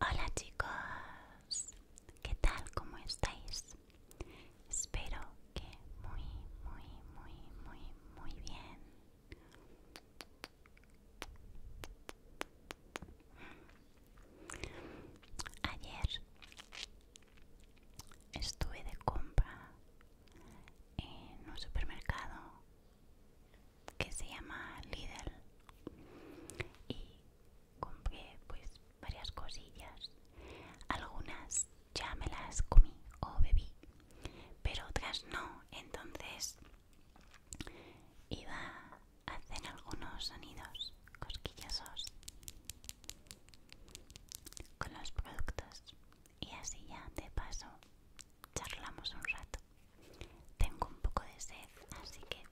Hola chicos, ¿qué tal? ¿Cómo estáis? Espero que muy, muy, muy, muy, muy bien. Ayer estuve de compra en un supermercado que se llama Lidl y compré pues varias cosillas algunas ya me las comí o bebí pero otras no entonces iba a hacer algunos sonidos cosquillosos con los productos y así ya de paso charlamos un rato. Tengo un poco de sed, así que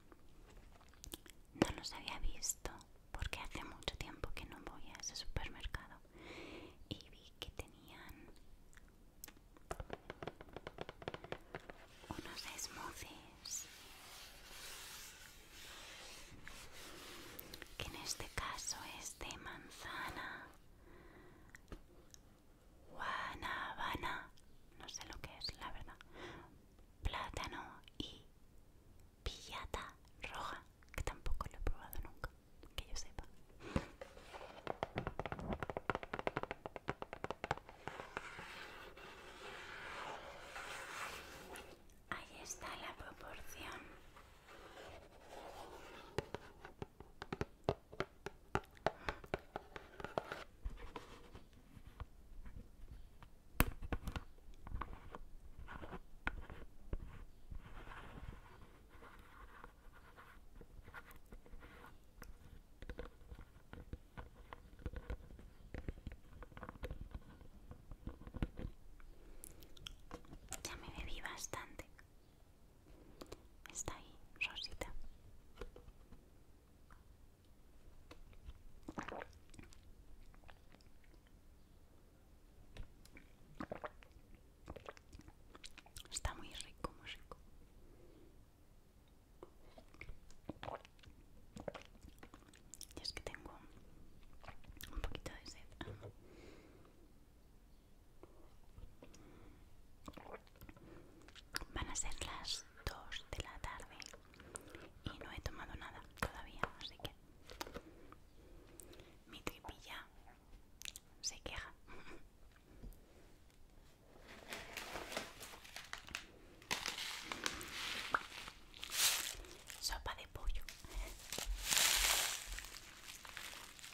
no los había visto porque hace mucho tiempo que no voy a ese supermercado y vi que tenían unos smoothies que en este caso es de manzana guanabana, no sé lo que es, la verdad, plátano y pillata roja, que tampoco lo he probado nunca, que yo sepa. Ahí está la proporción. Ya me bebí bastante. Está ahí, Rosita. Está muy rico, muy rico. Y es que tengo un poquito de sed. Van a ser las 2 de la tarde y no he tomado nada todavía, así que mi tripilla se queja. Sopa de pollo.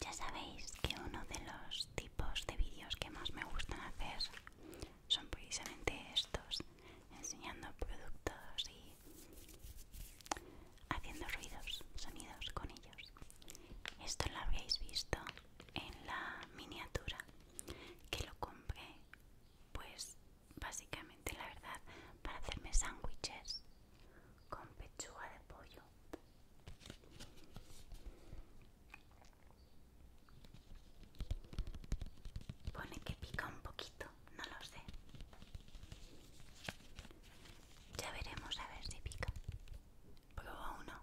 Ya sabéis que uno de los tipos de vídeos que más me gustan hacer son precisamente estos, enseñando productos y haciendo ruidos, sonidos con ellos. Esto lo habréis visto en la miniatura que lo compré pues básicamente la verdad para hacerme sándwiches con pechuga de pollo pone que pica un poquito no lo sé ya veremos a ver si pica prueba uno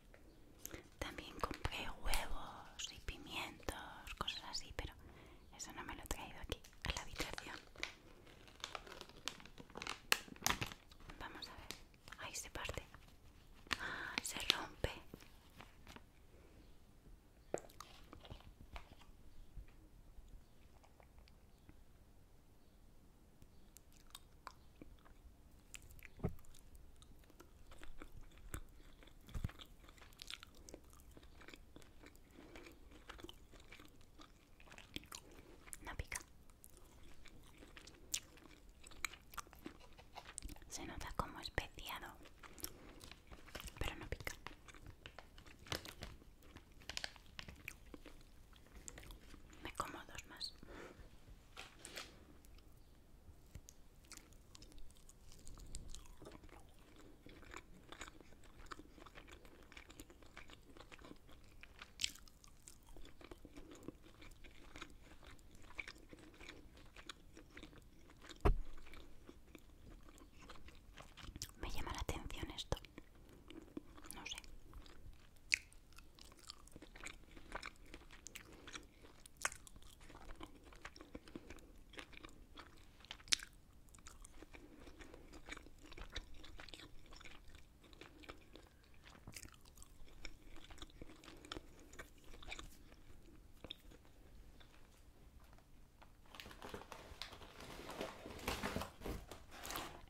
También compré huevos y pimientos, cosas así, pero eso no me lo he traído aquí a la habitación. Vamos a ver. Ahí se parte. ¡Ah! se rompe. No pica. Se nota como especiado, pero no pica. Me como dos más. Me llama la atención esto. No sé.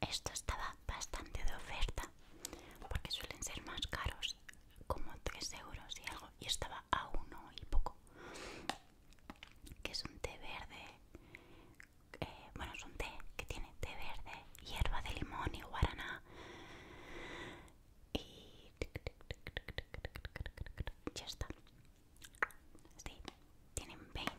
Esto estaba bastante de oferta porque suelen ser más caros como 3 euros y algo, y estaba a uno y poco. Que es un té verde, eh, bueno, es un té que tiene té verde, hierba de limón y guaraná. Y ya está. tienen 20.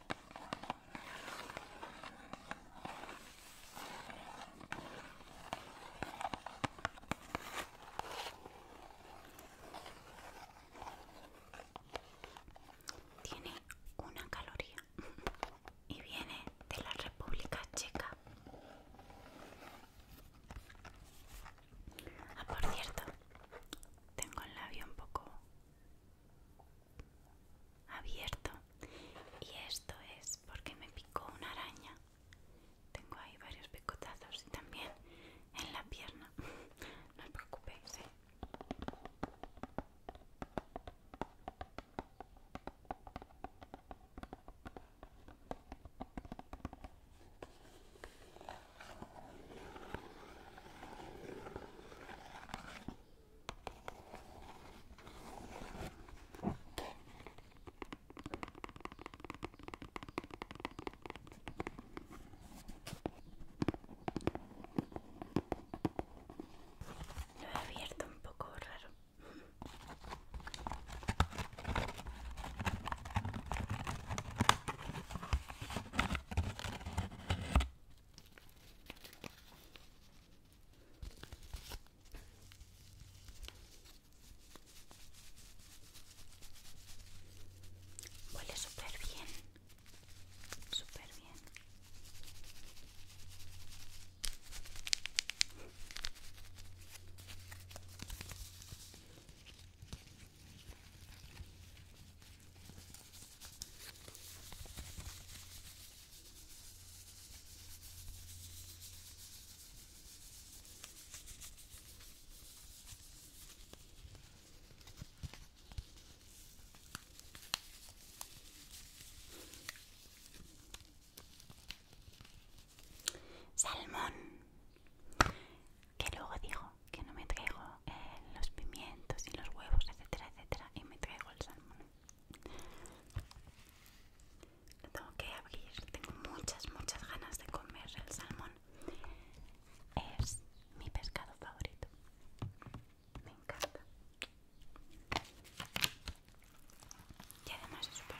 Tiene una caloría y viene de la República Checa. Ah, por cierto, tengo el labio un poco abierto y esto es porque me picó una araña tengo ahí varios picotazos y también en la pierna no os preocupéis ¿eh? Lo he abierto un poco raro. Huele súper bien, súper bien. Salmón, que luego digo que no me traigo eh, los pimientos y los huevos, etcétera, etcétera, y me traigo el salmón tengo que abrir. Tengo muchas, muchas ganas de comer el salmón. Es mi pescado favorito. Me encanta. Y además es súper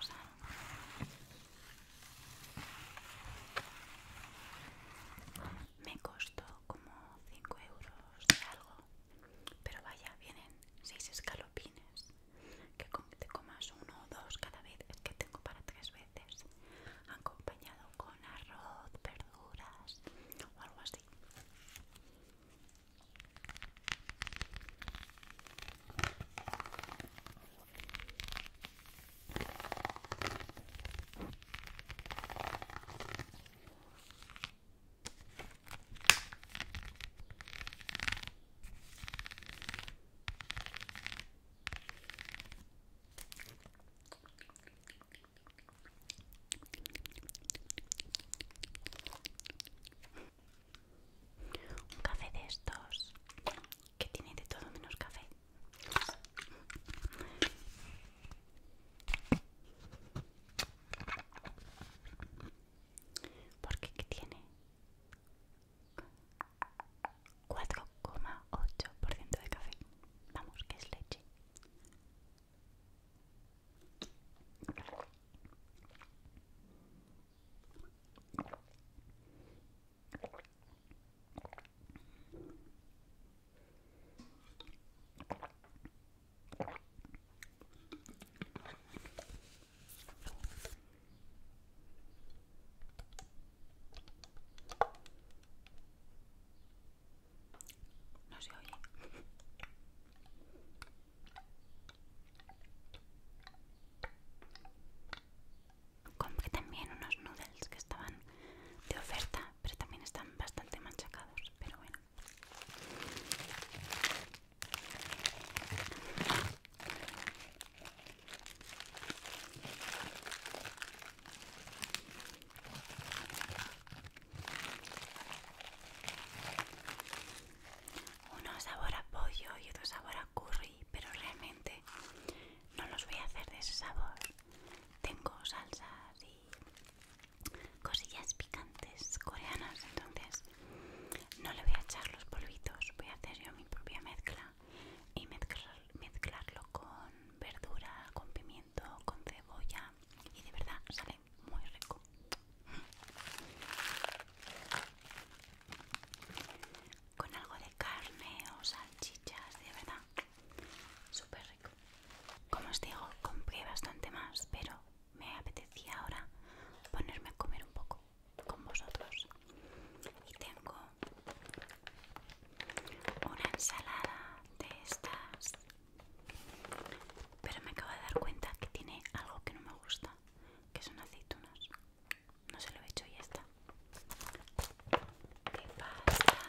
Me costó como 5 euros de algo pero vaya, vienen seis escalopines. Que te comas uno o dos cada vez, es que tengo para tres veces. Acompañado con arroz, verduras o algo así. Un café de estos que tiene de todo menos café porque ¿qué tiene 4,8% de café. Vamos, que es leche. No se oye. Compré también unos noodles que estaban de oferta, pero también están bastante manchacados pero bueno. Uno sabor a pollo y otro sabor a curry, pero realmente no los voy a hacer de ese sabor. Tengo salsas y cosillas picantes coreanas entonces no le voy a echar los polvitos voy a hacer yo mi propia mezcla y mezclarlo con verdura con pimiento con cebolla y de verdad sale muy rico con algo de carne o salchichas de verdad súper rico como os digo compré bastante más pero me apetecía ahora ponerme a comer un poco con vosotros y tengo una ensalada de estas pero me acabo de dar cuenta que tiene algo que no me gusta que son aceitunas no se lo he hecho y ya está de pasta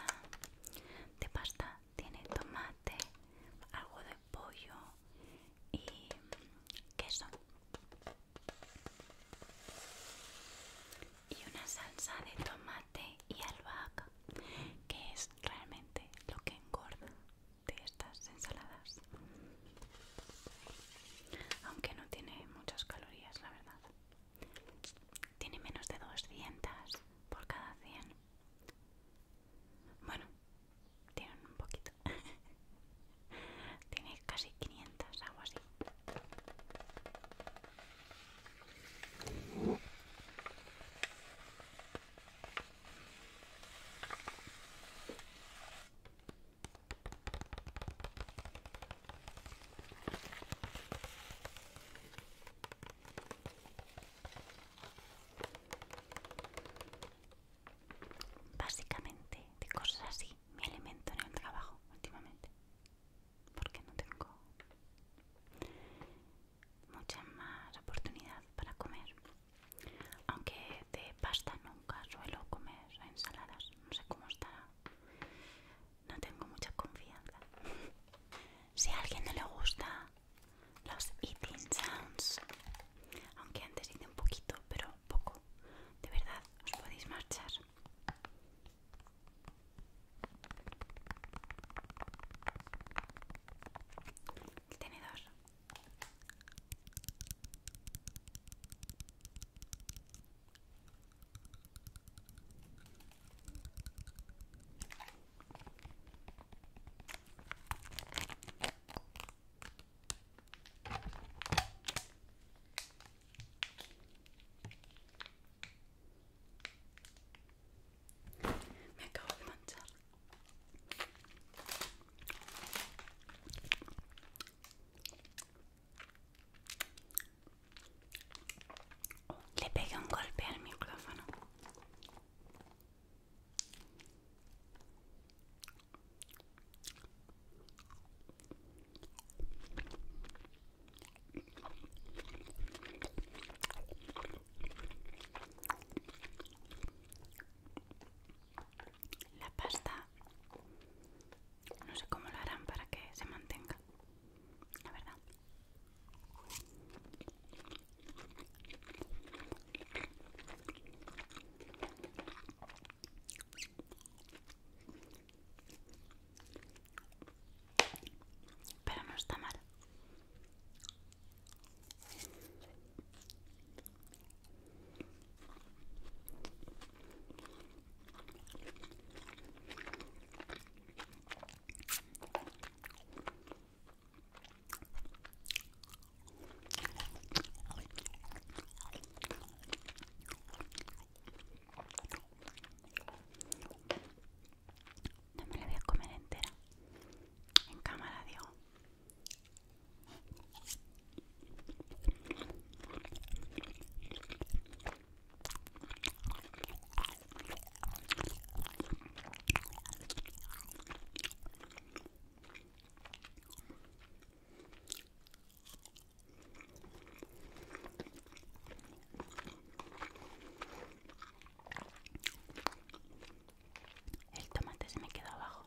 de pasta tiene tomate algo de pollo y queso. Y una salsa de tomate y albahaca, que es realmente lo que engorda de estas ensaladas. Aunque no tiene muchas calorías, la verdad. Tiene menos de 200 por cada 100. Bueno, tienen un poquito. Tiene casi 500, algo así. Básicamente de cosas así me alimento en el trabajo últimamente porque no tengo mucha más oportunidad para comer. Aunque de pasta nunca suelo comer ensaladas, no sé cómo está. No tengo mucha confianza. Si a alguien no le gusta los eating sounds aunque antes hice un poquito pero poco de verdad os podéis marchar el tenedor me acabo de manchar. Oh, le pegué un golpe al micrófono. La pasta no sé cómo lo harán para que se mantenga, la verdad. Pero no está mal. No me la voy a comer entera. En cámara, digo. El tomate se me queda abajo.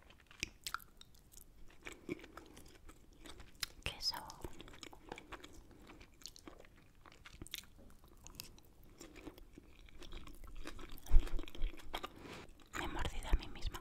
queso me he mordido a mí misma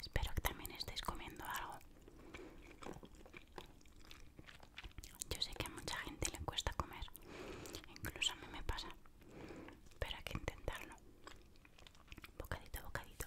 Espero que también estéis comiendo algo. Yo sé que a mucha gente le cuesta comer, incluso a mí me pasa, pero hay que intentarlo. Bocadito a bocadito.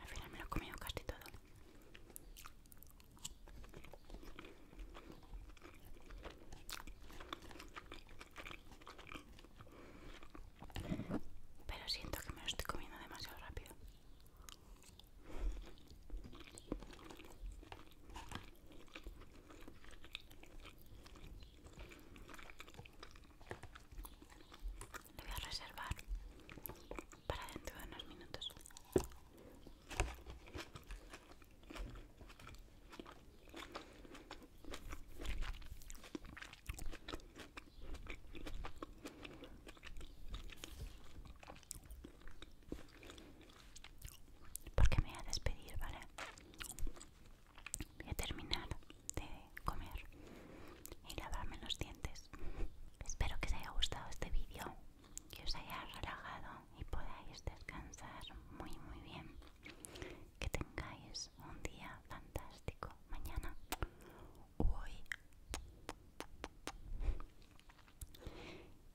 Al final me lo he comido casi todo. Pero siento que me lo estoy comiendo demasiado rápido. Le voy a reservar para dentro de unos minutos. Porque me voy a despedir, ¿vale? Voy a terminar de comer y lavarme los dientes. Espero que os haya gustado este vídeo, que os haya relajado y podáis descansar muy muy bien. Que tengáis un día fantástico mañana o hoy.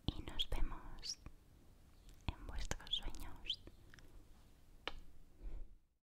Y nos vemos en vuestros sueños.